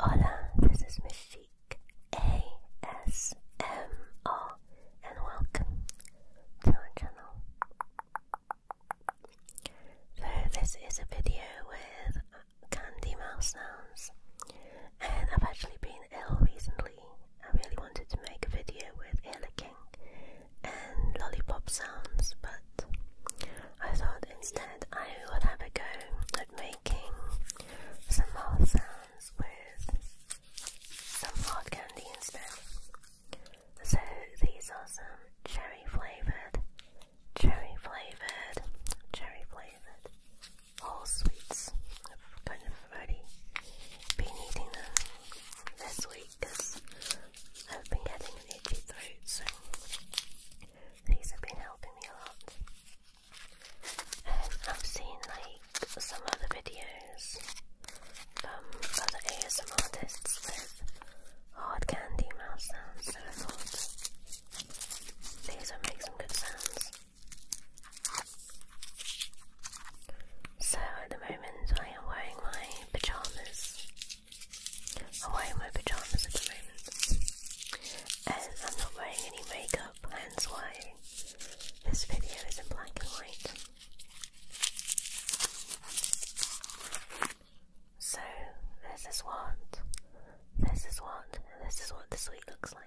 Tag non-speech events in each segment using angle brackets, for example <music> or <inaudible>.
Hola, this is Miss Chic ASMR and welcome to our channel. So this is a video with candy mouse sounds and I've actually been ill recently. I really wanted to make a video with ear and lollipop sounds but I thought instead I would have a go at making some mouth sounds with some hard candy instead. So these are some cherry flavored, cherry flavored, cherry flavored all sweets. I've kind of already been eating them this week because I've been getting an itchy throat. So these have been helping me a lot. Um, I've seen like some other videos from other ASM artists with hard candy mouse sounds, these would make some good sounds. So at the moment I am wearing my pyjamas I'm wearing my pajamas at the moment, and I'm not wearing any makeup, hence why this video is in black and white. So, this is what, this is what, and this is what this week looks like.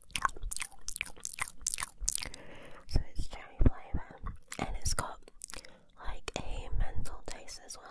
So it's cherry flavour and it's got like a mental taste as well.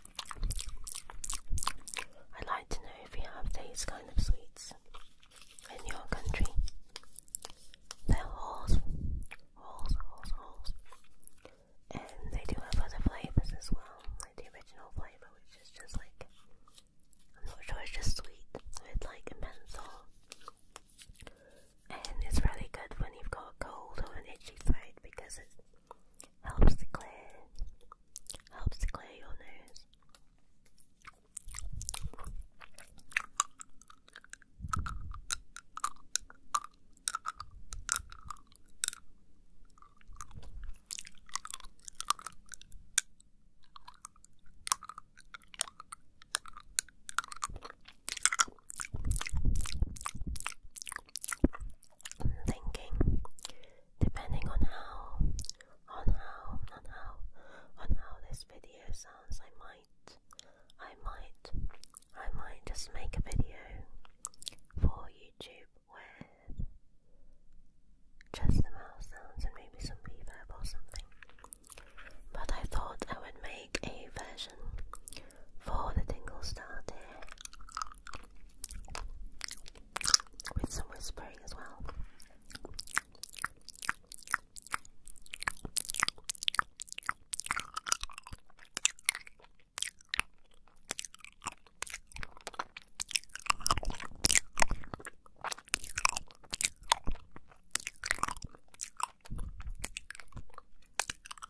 I'd like to know if you have these kind of sweets in your country. They're holes, holes, holes, holes. And they do have other flavours as well, the original flavour, which is just like, I'm not sure, it's just sweet with like a And it's really good when you've got a cold or an itchy throat because it's helps to clear, helps to clear your nose. thinking depending on how, on how, on how, on how this video sounds, I might, I might, I might just make a video for YouTube with just the mouse sounds and maybe some reverb or something. But I thought I would make a version for the Dingle Star here with some whispering as well.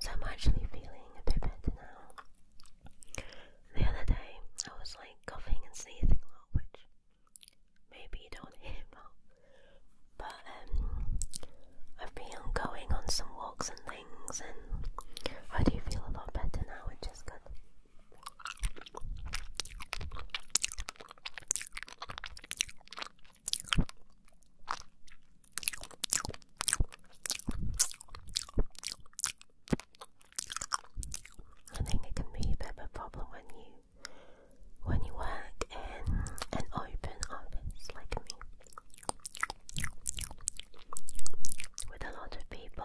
So I'm actually feeling a bit better now. The other day I was like coughing and sneezing a lot, which maybe you don't <laughs> hear But um, I've been going on some walks and things, and I do feel a lot better now, which is good. I think it can be a bit of a problem when you when you work in an open office like me. With a lot of people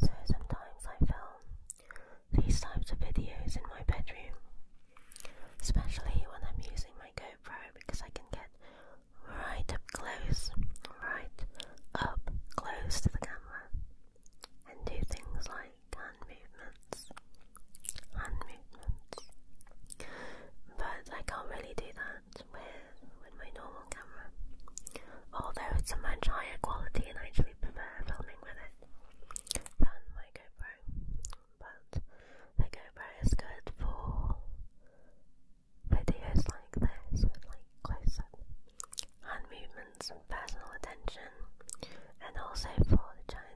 So sometimes I film these types of videos in my bedroom, especially when I'm using my GoPro because I can get right up close, right up close to the camera and do things like hand movements, hand movements. But I can't really do that with with my normal camera. Although it's a much higher quality and I actually prefer filming with it than my GoPro. But the GoPro is good for videos like this like close up hand movements personal attention and also for the channel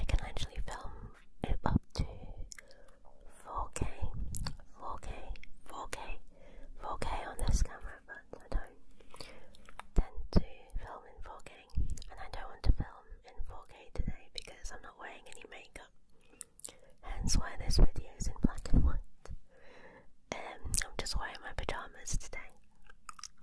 I can actually film it up to 4K, 4K, 4K, 4K on this camera, but I don't tend to film in 4K, and I don't want to film in 4K today because I'm not wearing any makeup. Hence why this video is in black and white. Um, I'm just wearing my pajamas today.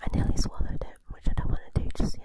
I nearly swallowed it, which I don't want to do just yet.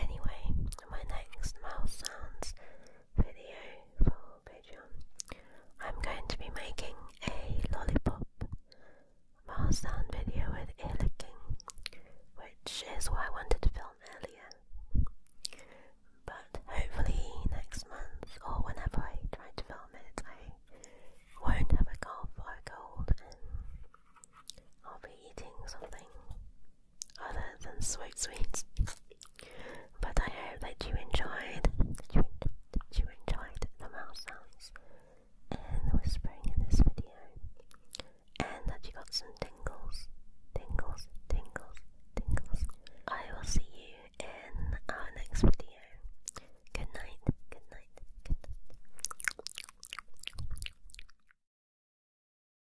Anyway, my next mouth sounds video for Patreon. I'm going to be making a lollipop bar sound video with licking, which is what I wanted to film earlier. But hopefully next month or whenever I try to film it, I won't have a cough or a cold and I'll be eating something other than sweet sweets. But I hope that you enjoyed, that you, that enjoyed the mouse sounds and the whispering in this video, and that you got some tingles, tingles, tingles, tingles. I will see you in our next video. Good night, good night, good night.